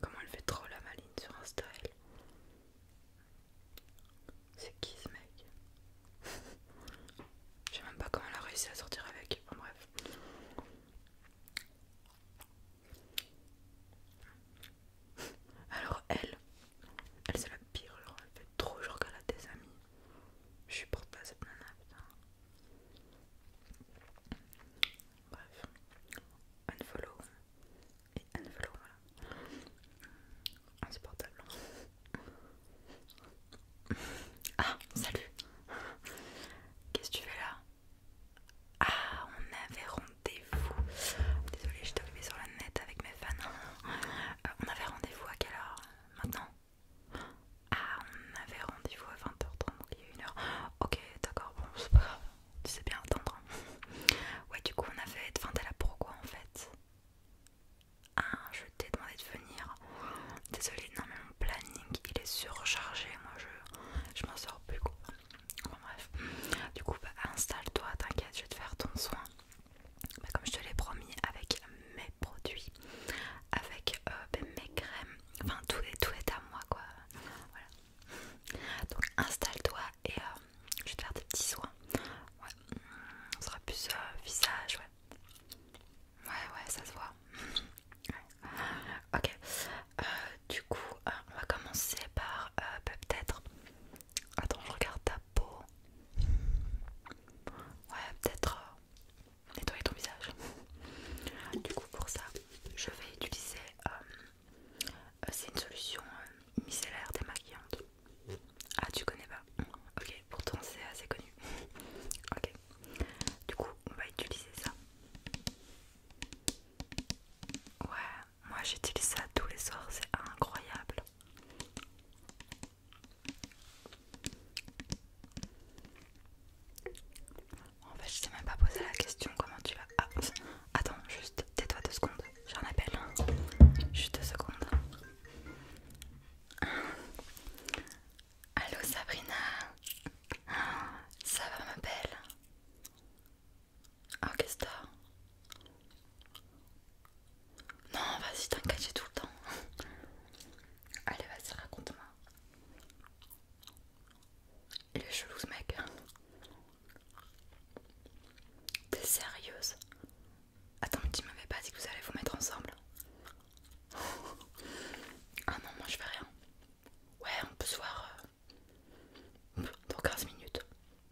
Comment elle fait trop la maline sur Insta elle C'est qui ce mec Je sais même pas comment elle a réussi à sortir avec, enfin bref. Alors elle, elle c'est la pire, elle fait trop genre qu'elle a des amis. Je supporte pas cette nana, putain. Bref, unfollow et unfollow, voilà. Insupportable. Hein. Ah, salut! Qu'est-ce que tu fais là? Ah, on avait rendez-vous! Désolée, je suis tombée sur la net avec mes fans. Euh, on avait rendez-vous à quelle heure euh, maintenant Ah, on avait rendez-vous à 20h30, donc il y a une heure. Ok, d'accord, bon, c'est pas grave, tu sais bien attendre. ouais, du coup, on avait. Enfin, t'es là pourquoi en fait Ah, je t'ai demandé de venir. Désolée, non, mais mon planning il est surchargé, moi je, je m'en sors plus, quoi. Bon, bref, du coup, bah, installe-toi, t'inquiète, je vais te faire ton soin bah, comme je te l'ai promis avec mes produits avec euh, ben, mes crèmes enfin tout est, tout est à moi quoi donc installe-toi et euh, je vais te faire des petits soins ouais on mm, sera plus euh, visage ouais ouais ouais ça se voit ok du coup on va commencer par ben, peut-être Attends, je regarde ta peau. Ouais, peut-être euh, nettoyer ton visage. Du coup, pour ça, je vais utiliser. Euh, euh, c'est une solution micellaire démaquillante. Ah, tu connais pas Ok, pourtant c'est assez connu. ok, du coup, on va utiliser ça. Ouais, moi j'utilise ça tous les soirs, c'est incroyable. En fait, je t'ai même pas posé la question comment tu vas. Ah, attends, juste tais-toi deux secondes, j'ai un appel. Juste deux secondes. Allo Sabrina, ça va ma belle ah, qu'est-ce que t'as Non, vas-y, t'inquiète, tout le temps. Allez, vas-y, raconte-moi. Il est chelou ce mec. T'es sérieuse Attends, mais tu m'avais pas dit que vous allez vous mettre ensemble Ah non, moi je fais rien. Ouais, on peut se voir euh, dans 15 minutes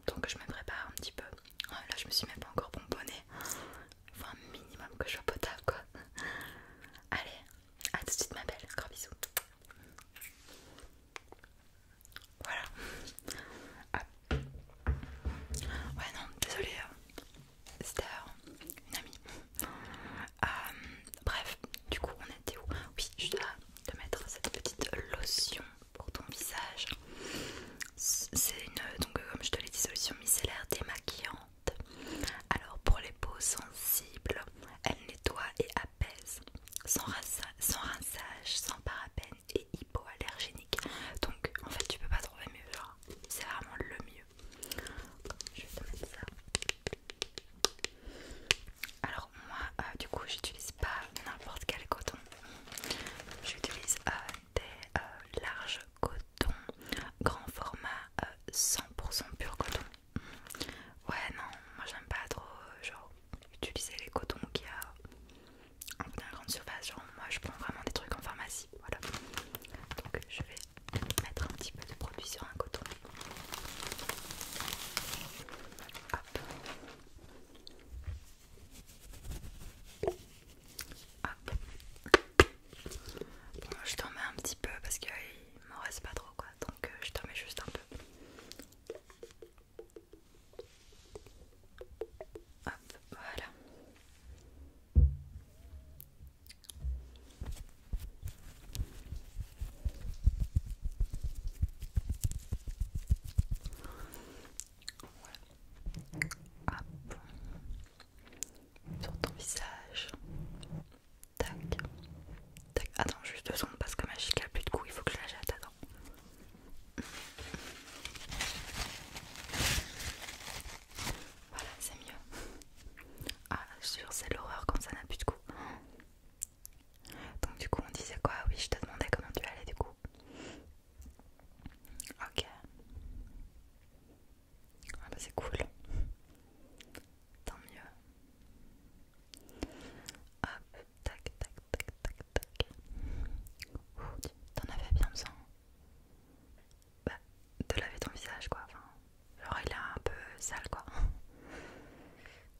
donc je me prépare un petit peu. Ah, là je me suis même pas encore bonbonnée. Faut un minimum que je sois potable quoi. Allez, à tout de suite ma belle, gros bisous. Voilà. Ouais non, désolée, euh, c'était euh, une amie. Euh, bref, du coup on était où Oui, je dois te mettre cette petite lotion pour ton visage. C'est une, donc euh, comme je te l'ai dit, solution micellaire démaquillante. Alors pour les peaux sensibles, elle nettoie et apaise, sans, rinçage, sans parapène et hypoallergénique. Donc en fait tu peux pas trouver mieux, c'est vraiment le mieux. Je vais te ça. Alors moi, euh, du coup, j'utilise pas n'importe quel coton. J'utilise euh, des euh, larges cotons, grand format, 100% euh, pur coton. Ouais, non, moi j'aime pas trop genre, utiliser les cotons qui y a grande surface. Genre, moi je prends vraiment des trucs en pharmacie. Voilà. Donc je vais mettre un petit peu de produit sur un coton je t'en mets un petit peu parce qu'il m'en reste pas trop quoi, donc euh, je t'en mets juste un peu. voilà. Voilà, Hop. Sur ton visage. Tac. Tac. Attends juste deux secondes parce que ma chic a plus de coups, il faut que je la jette. Attends. Voilà, c'est mieux. Ah, je suis c'est l'horreur quand ça n'a plus de coups. Donc du coup on disait quoi Oui je te demandais comment tu allais du coup. Ok. Ah bah c'est cool. Tant mieux. Hop, tac, tac, tac, tac, tac. t'en avais bien besoin. Bah, de laver ton visage quoi. Enfin, genre il est un peu sale quoi.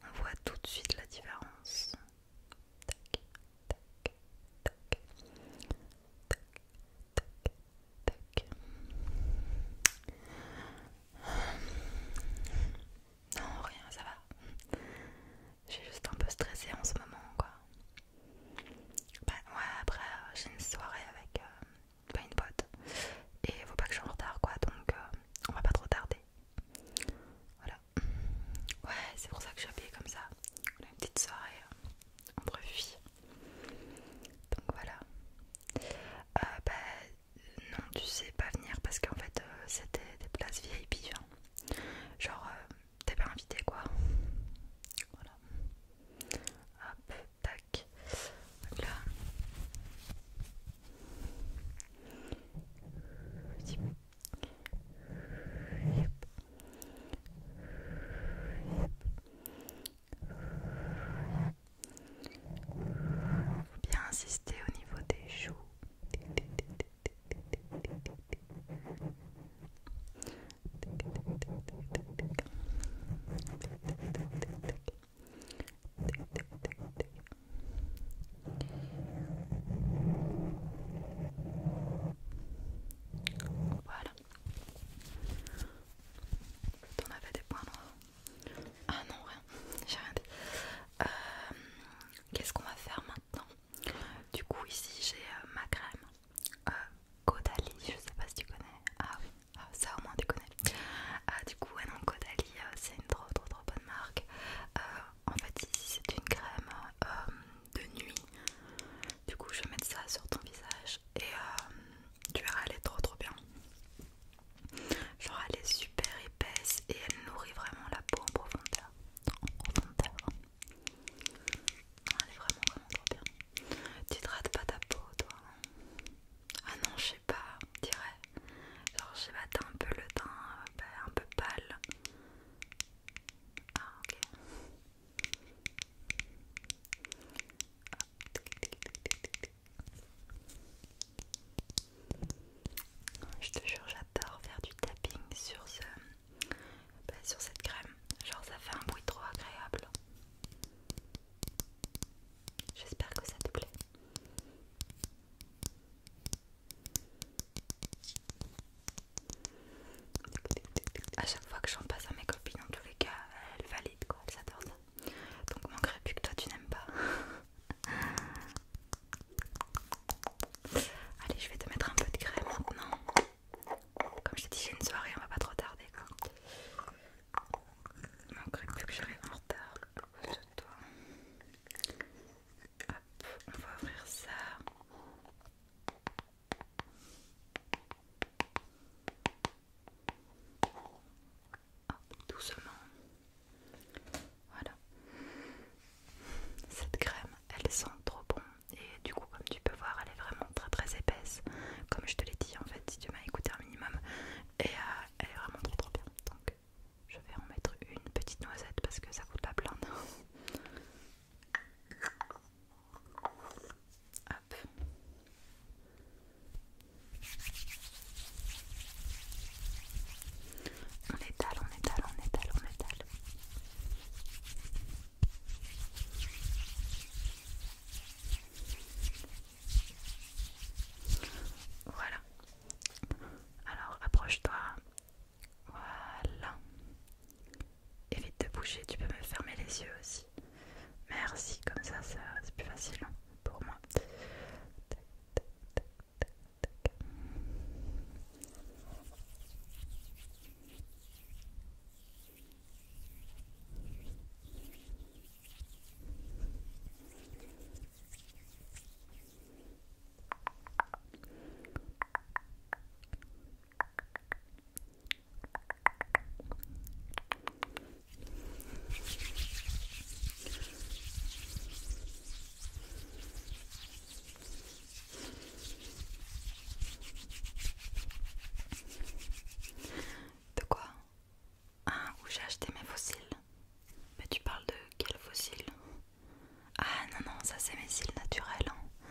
On voit tout de suite la différence. Non, rien, ça va. Je suis juste un peu stressée en ce moment, quoi. Bah, ouais, après euh, j'ai une soirée avec euh, bah, une pote et faut pas que je sois en retard, quoi. Donc euh, on va pas trop tarder. Voilà. Ouais, c'est pour ça que je suis habillée comme ça. On a une petite soirée euh, en filles. Donc voilà. Euh, bah, non, tu sais pas venir parce qu'en fait, euh, c'était des places VIP. Hein. Genre, t'es pas invité quoi. Voilà. Hop, tac. Donc Là. Faut bien insister au niveau des joues. Voilà. On avait des points noirs. Ah non, rien. J'ai rien dit. Euh, qu'est-ce qu'on va faire maintenant Du coup, ici, j'ai euh, ma crème. Caudalie, euh, je sais pas si tu connais. Ah oui, ah, ça au moins tu connais. du coup, ouais, non, Caudalie, c'est une trop trop trop bonne marque en fait ici c'est une crème euh, de nuit du coup je vais mettre ça sur ton visage et euh, tu verras elle est trop trop bien genre elle est super épaisse et elle nourrit vraiment la peau en profondeur en profondeur elle est vraiment vraiment trop bien tu te rates pas ta peau toi ah non je sais pas dirais genre je sais un peu le teint euh, un peu pâle. Ah ok. Je te jure, j'adore faire du tapping sur ce, bah, sur cette crème. Genre ça fait un bruit trop agréable. J'espère que ça te plaît. A chaque fois que j'en passe à mes copines, en tous les cas, elles valident quoi, elles adorent ça. Donc manquerait plus que toi tu n'aimes pas. Allez, je vais te mettre un peu de crème maintenant. Comme je t'ai dit, j'ai une soirée, on va pas trop tarder quoi. manquerait plus que j'arrive en retard à de toi. Hop, on va ouvrir ça. doucement. Voilà. Cette crème, elle sent trop bon. Et du coup, comme tu peux voir, elle est vraiment très très épaisse. Comme je te l'ai dit, en fait, si tu m'as écouté un minimum. Et euh, elle est vraiment trop trop bien. Je vais en mettre une petite noisette parce que ça coûte pas plein. On étale, on étale, on étale, on étale. Voilà, alors approche-toi. Voilà. Évite de bouger, tu peux me fermer les yeux aussi. Merci, comme ça, c'est plus facile pour moi. De quoi ah, où j'ai acheté mes fossiles Mais tu parles de quels fossile Ah non, non, ça c'est mes cils naturels. Hein.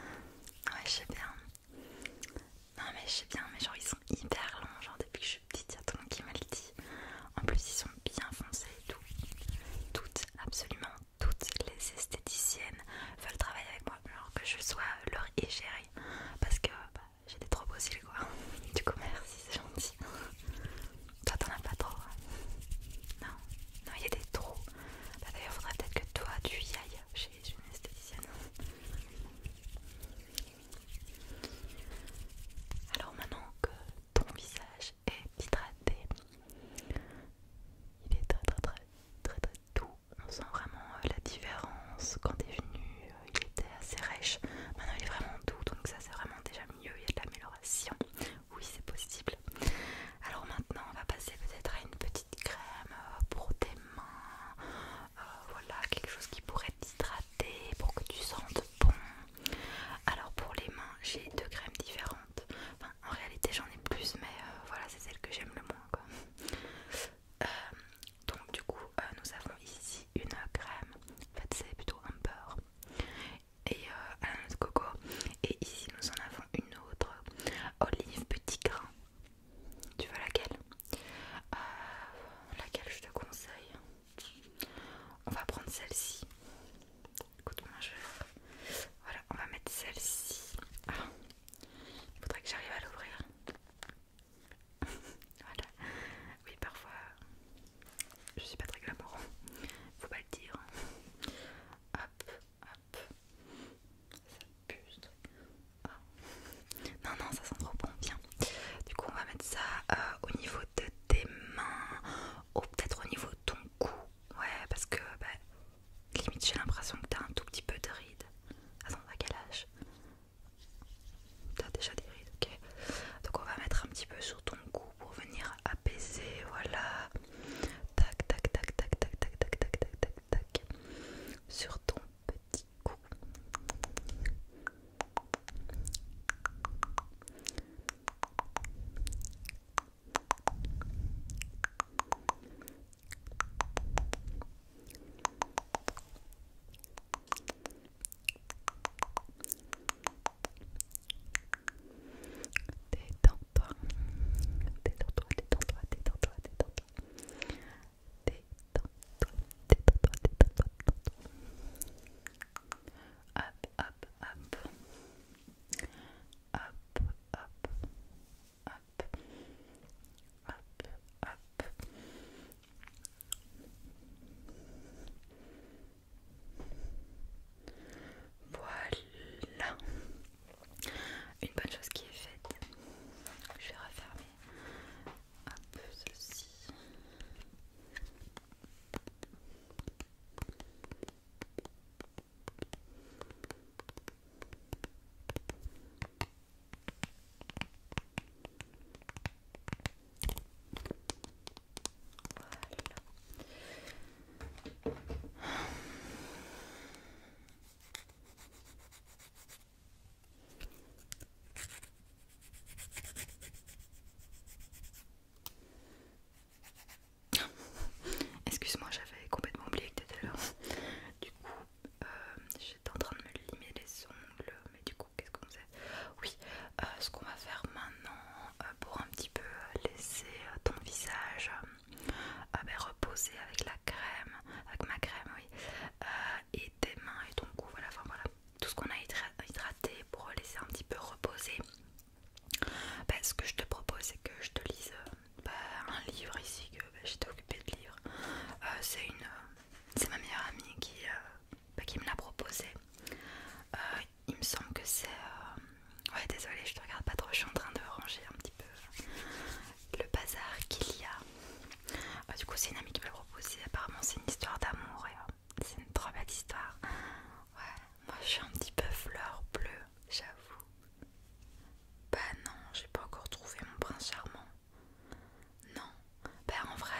Ouais, je sais bien. Non, mais je sais bien, mais genre ils sont hyper longs. Genre depuis que je suis petite, y a tout qui me le dit. En plus, ils sont bien foncés et tout. Toutes, absolument toutes les esthéticiennes veulent travailler avec moi. Genre que je sois leur égérie. Parce que bah, j'ai des trop beaux cils, quoi. Du coup, merci, c'est gentil. Toi, t'en as pas trop. Hein. non, non, il y a des trous. Bah, D'ailleurs, faudrait peut-être que toi, tu y ailles chez une esthéticienne. Alors, maintenant que ton visage est hydraté, il est très, très, très, très, doux. On sent vraiment euh, la différence quand t'es venu. Euh, il était assez rêche. Maintenant, il est vraiment doux, donc ça, c'est vraiment déjà il y a de l'amélioration. Oui, c'est possible. Alors maintenant, on va passer peut-être à une petite crème euh, pour tes mains. Euh, voilà, quelque chose qui pourrait hydrater, pour que tu sentes bon. Alors pour les mains, j'ai deux crèmes différentes. en réalité, j'en ai plus, mais euh, voilà, c'est celle que j'aime le moins. Quoi. donc du coup, nous avons ici une crème. En fait, c'est plutôt un beurre et à euh, la coco. Et ici, nous en avons une autre olive petit grain. Tu vois laquelle euh, Laquelle je te conseille On va prendre celle-ci. Écoute-moi, je Voilà, on va mettre celle-ci. Ah, il faudrait que j'arrive à l'ouvrir. voilà. Oui, parfois je suis pas très glamour, faut pas le dire. Hop, hop, ça buste. Ah. Non, non, ça sent trop bon, viens. Du coup, on va mettre ça euh, au niveau de tes mains, ou peut-être au niveau de ton cou. Ouais, parce que bah, limite, j'ai l'impression que t'as un tout petit peu de ride. Attends, à quel âge T'as déjà des rides, ok. Donc on va mettre un petit peu sur ton cou pour venir apaiser, voilà. Tac, tac, tac, tac, tac, tac, tac, tac, tac, tac, Sur ton petit cou. Détends-toi, toi toi toi toi toi toi toi toi hop. Hop, hop. Voilà. Une bonne chose qui est faite. Je vais refermer un peu ceci. Voilà. Excuse-moi, j'avais complètement oublié que t'étais là. Du coup, euh, j'étais en train de me limer les ongles, mais du coup, qu'est-ce qu'on fait Oui, euh, ce qu'on va faire maintenant euh, pour un petit peu laisser euh, ton visage ah ben, reposer avec la crème, avec ma crème oui, et tes mains et ton cou, voilà, enfin voilà, tout ce qu'on a hydraté pour laisser un petit peu reposer. Ben, ce que je te propose c'est que je te lise ben, un livre ici que j'étais occupée de lire. c'est une c'est ma meilleure amie qui, bah, qui me l'a proposé. Euh, il me semble que c'est... Euh, ouais désolé je te regarde pas trop, je suis en train de ranger un petit peu le bazar qu'il y a. Euh, du coup c'est une amie qui me l'a proposé, apparemment c'est une histoire d'amour et c'est une très belle histoire. Ouais, moi je suis un petit peu fleur bleue, j'avoue. Bah non, j'ai pas encore trouvé mon prince charmant. Non. Ben en vrai,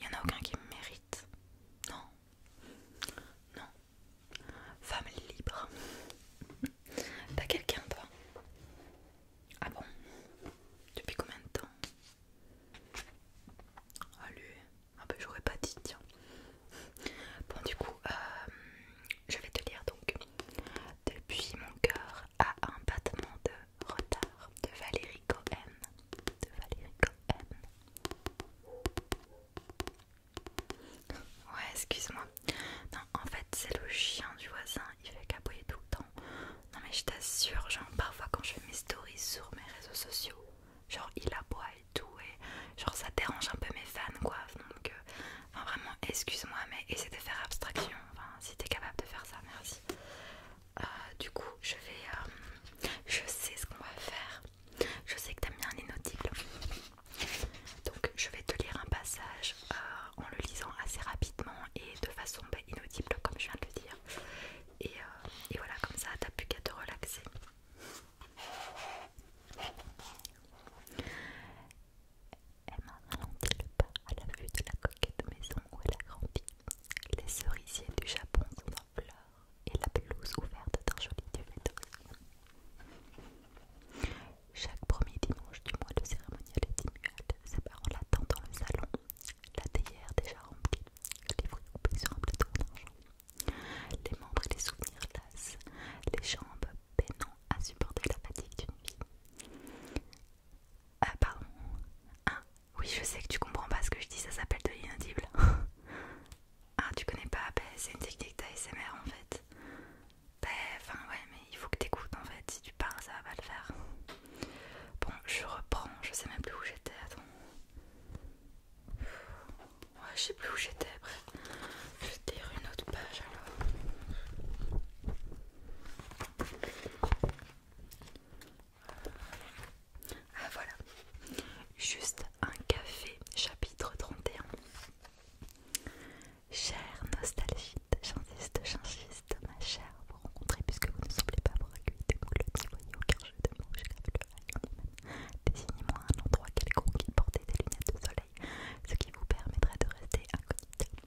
il euh, n'y en a aucun qui me mérite. Non. Non. Femme libre. T'as quelqu'un toi Ah bon Depuis combien de temps lui, un peu j'aurais pas dit tiens. Bon du coup, euh, je vais te lire donc. Depuis mon cœur à un battement de retard de Valérie Cohen de Valérie Cohen. Ouais, excuse-moi. Non, en fait, c'est le chien du voisin, il fait caboyer tout le temps. Non, mais je t'assure, genre, parfois quand je fais mes stories sur mes réseaux sociaux, genre, il aboie et tout, et genre, ça dérange un peu mes fans, quoi. Donc, euh, enfin, vraiment, excuse-moi, mais essaie de faire abstraction. Enfin, si t'es capable de faire ça, merci. Euh, du coup je vais euh, je sais ce qu'on va faire je sais que t'as mis un inaudible donc je vais te lire un passage euh, en le lisant assez rapidement et de façon bah, inaudible comme je viens de le dire et, et voilà comme ça t'as plus qu'à te relaxer elle m'a le pas à la vue de la coquette maison où elle a grandi les cerisiers du Japon sont en fleurs et la pelouse ouverte d'un joli diamètre. Chaque premier dimanche du mois, le cérémonial est immuable, parents l'attendent dans le salon, la théière déjà remplie, les fruits coupés sur un plateau les membres et les souvenirs lassent. les jambes peinant à supporter la fatigue d'une vie. Ah, pardon, oui, je sais que tu comprends pas ce que je dis, ça s'appelle de l'inaudible. ah, tu connais pas ben, C'est une technique d'ASMR en fait. Ben, enfin, ouais, mais il faut que t'écoutes en fait. Si tu pars, ça va pas le faire. Bon, je reprends, je sais même plus où j'étais. Attends. Ouais, je sais plus où j'étais. Après, je vais te une autre page alors. Ah voilà, juste un café, chapitre 31. Chère nostalgite, chantiste, changiste, ma chère, vous rencontrez puisque vous ne semblez pas avoir accueilli des si vous voyez aucun jeu de mots, je le même Désignez-moi un endroit quelconque qui portait des lunettes de soleil, ce qui vous permettrait de rester incognite.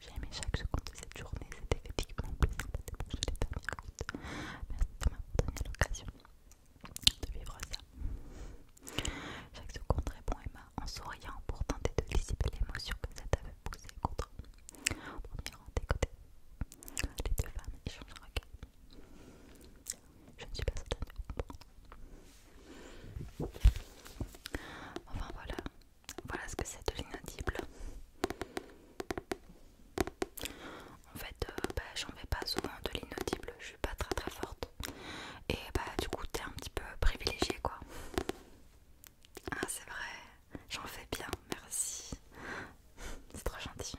J'ai aimé chaque seconde de cette journée, c'était effectivement plus sympathique que les dernières écoute, Merci de m'avoir donné l'occasion de vivre ça. Chaque seconde répond Emma en souriant pour tenter de dissiper l'émotion que ça t'avait poussé contre. On premier rang des côtés, les deux femmes échangent un regard. Je ne suis pas certaine de comprendre Enfin voilà, voilà ce que c'est de l'inaudible. En fait, euh, bah, j'en fais pas souvent de l'inaudible, je suis pas très très forte. Et bah du coup, t'es un petit peu privilégié quoi. Ah c'est vrai, j'en fais bien, merci. C'est trop gentil.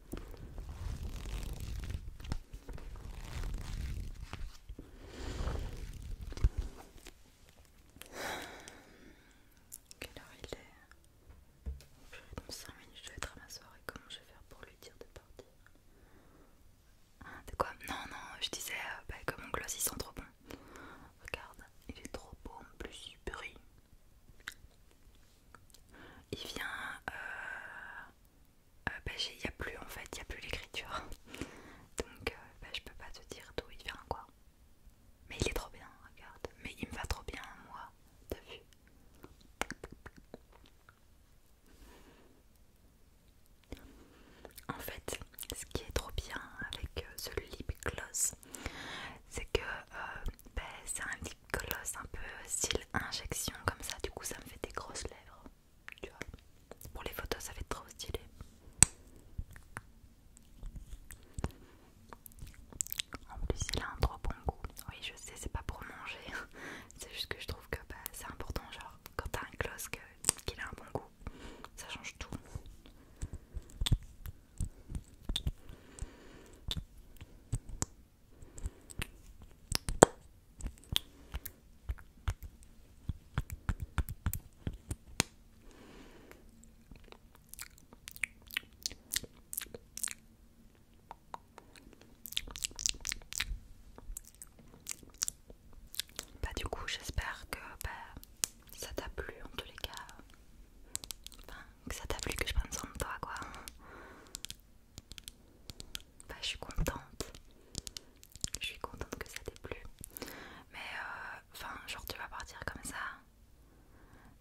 Quelle heure il est minutes, je vais être à ma soirée. Comment je vais faire pour lui dire de partir ah, De quoi Non, non, je disais comme euh, bah, que mon gloss il sent trop bon. Regarde, il est trop beau en plus, il brille il vient euh, euh, bah, il n'y a plus en fait il n'y a plus l'écriture donc euh, bah, je peux pas te dire d'où il vient quoi mais il est trop bien regarde mais il me va trop bien moi de vu en fait ce qui est trop bien avec ce lip gloss c'est que bah, c'est un lip Colosse un peu style injection comme ça, du coup ça me fait des grosses lèvres. Tu vois, pour les photos ça fait trop stylé. En plus il a un trop bon goût. Oui je sais c'est pas pour manger, c'est juste que je trouve que bah, c'est important genre quand t'as un gloss qu'il a un bon goût, ça change tout. Bah du coup j'espère que bah, ça t'a plu en tous les cas. que ça t'a plu que je prenne soin de toi quoi. Bah, je suis contente. Je suis contente que ça t'ait plu. Mais euh, enfin, genre tu vas partir comme ça.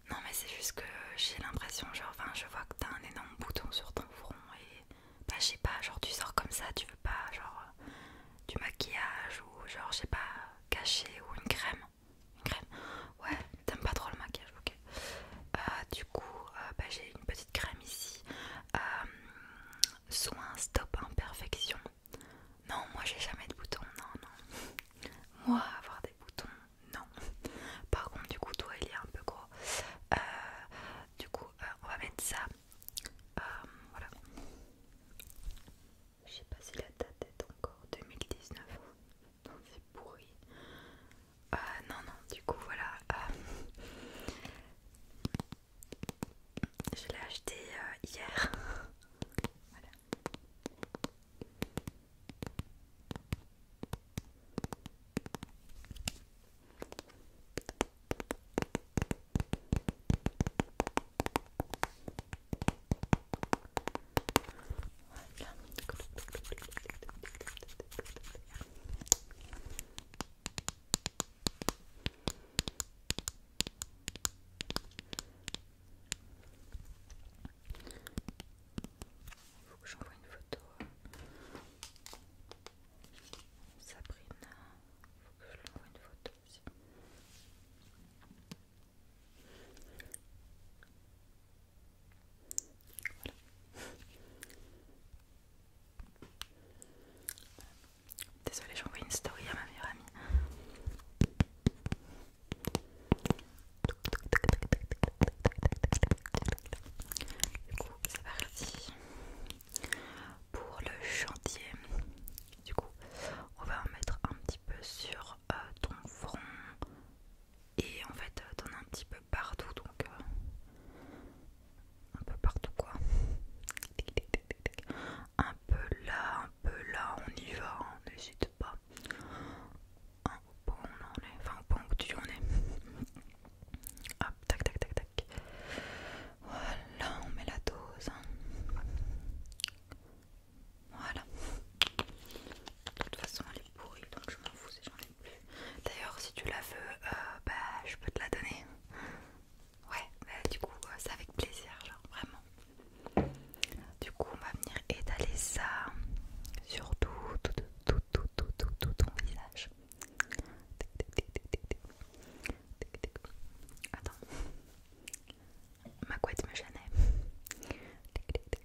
Non mais c'est juste que j'ai l'impression, genre, enfin, je vois que t'as un énorme bouton sur ton front et bah je sais pas, genre tu sors comme ça, tu veux pas genre euh, du maquillage ou genre je sais pas caché ou une crème. Une crème Ouais, t'aimes pas trop le maquillage, ok. Euh, du coup, euh, bah, j'ai une petite crème ici. Euh, soin stop imperfection. Non, moi j'ai jamais de boutons, non, non. Moi, avoir des boutons, non. Par contre, du coup, toi, il est un peu gros. du coup, on va mettre ça. voilà. Je sais pas si la date est encore 2019. C'est pourri. Ah non, non, du coup, voilà. Euh, je l'ai acheté euh, hier. Il faut que j'envoie une photo Sabrina. Il faut que je lui envoie une photo aussi. Désolée, j'envoie une story à ma meilleure amie. Du coup, c'est parti pour le chantier. Du coup, on va en mettre un petit peu sur euh, ton front, et en fait, euh, t'en as un petit peu partout, donc euh, un peu partout quoi. Un peu là, un peu là, on y va, hein, n'hésite pas. Un on est, enfin au point où tu en es. Hop, tac, tac, tac, tac. Voilà, on met la dose. Hein. Voilà. De toute façon, elle est pourrie donc je m'en fous et j'en ai plus. D'ailleurs, si tu la veux, euh, bah, je peux te la donner. Ouais, bah, du coup, euh, c'est avec plaisir, genre vraiment. Du coup, on va venir étaler ça sur tout, tout, tout, tout, tout, tout, tout ton visage. Attends, ma couette me gênait.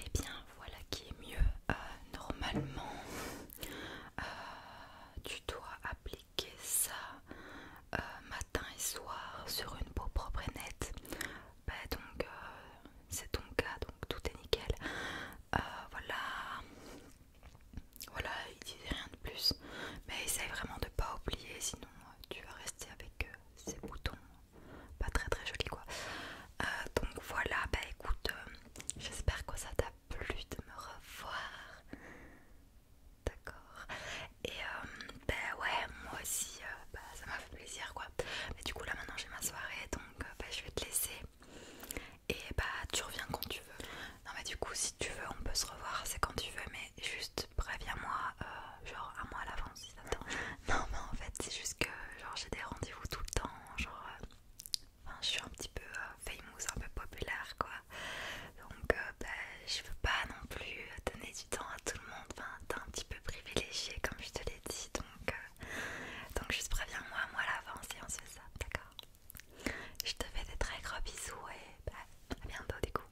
Et eh bien voilà qui est mieux. Euh, normalement, euh, tu dois appliquer ça euh, matin et soir sur une peau propre et nette. Bah, donc c'est ton cas, donc tout est nickel. voilà, voilà, il disait rien de plus. Mais essaye vraiment de pas oublier, sinon tu vas rester avec ces boutons pas très très jolis quoi. donc voilà, bah écoute. J'espère que ça t'a plu de me revoir. D'accord. Et euh, ben ouais, moi aussi, euh, bah, ça m'a fait plaisir quoi. Mais du coup là maintenant j'ai ma soirée, donc euh, ben, je vais te laisser. Et bah tu reviens quand tu veux. Non mais du coup si tu veux on peut se revoir, c'est quand tu veux, mais juste préviens-moi genre un mois à l'avance si ça Non mais en fait c'est juste que genre j'ai des rendez-vous tout le temps, genre je suis un petit peu euh, famous, un peu populaire quoi. Donc, euh, bah, je veux pas non plus euh, donner du temps à tout le monde. Enfin, t'es un petit peu privilégié comme je te l'ai dit. Donc, donc juste préviens-moi, moi à l'avance et on se fait ça, d'accord Je te fais des très gros bisous et bah, à bientôt du coup.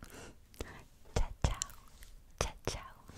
Ciao, ciao. Ciao, ciao.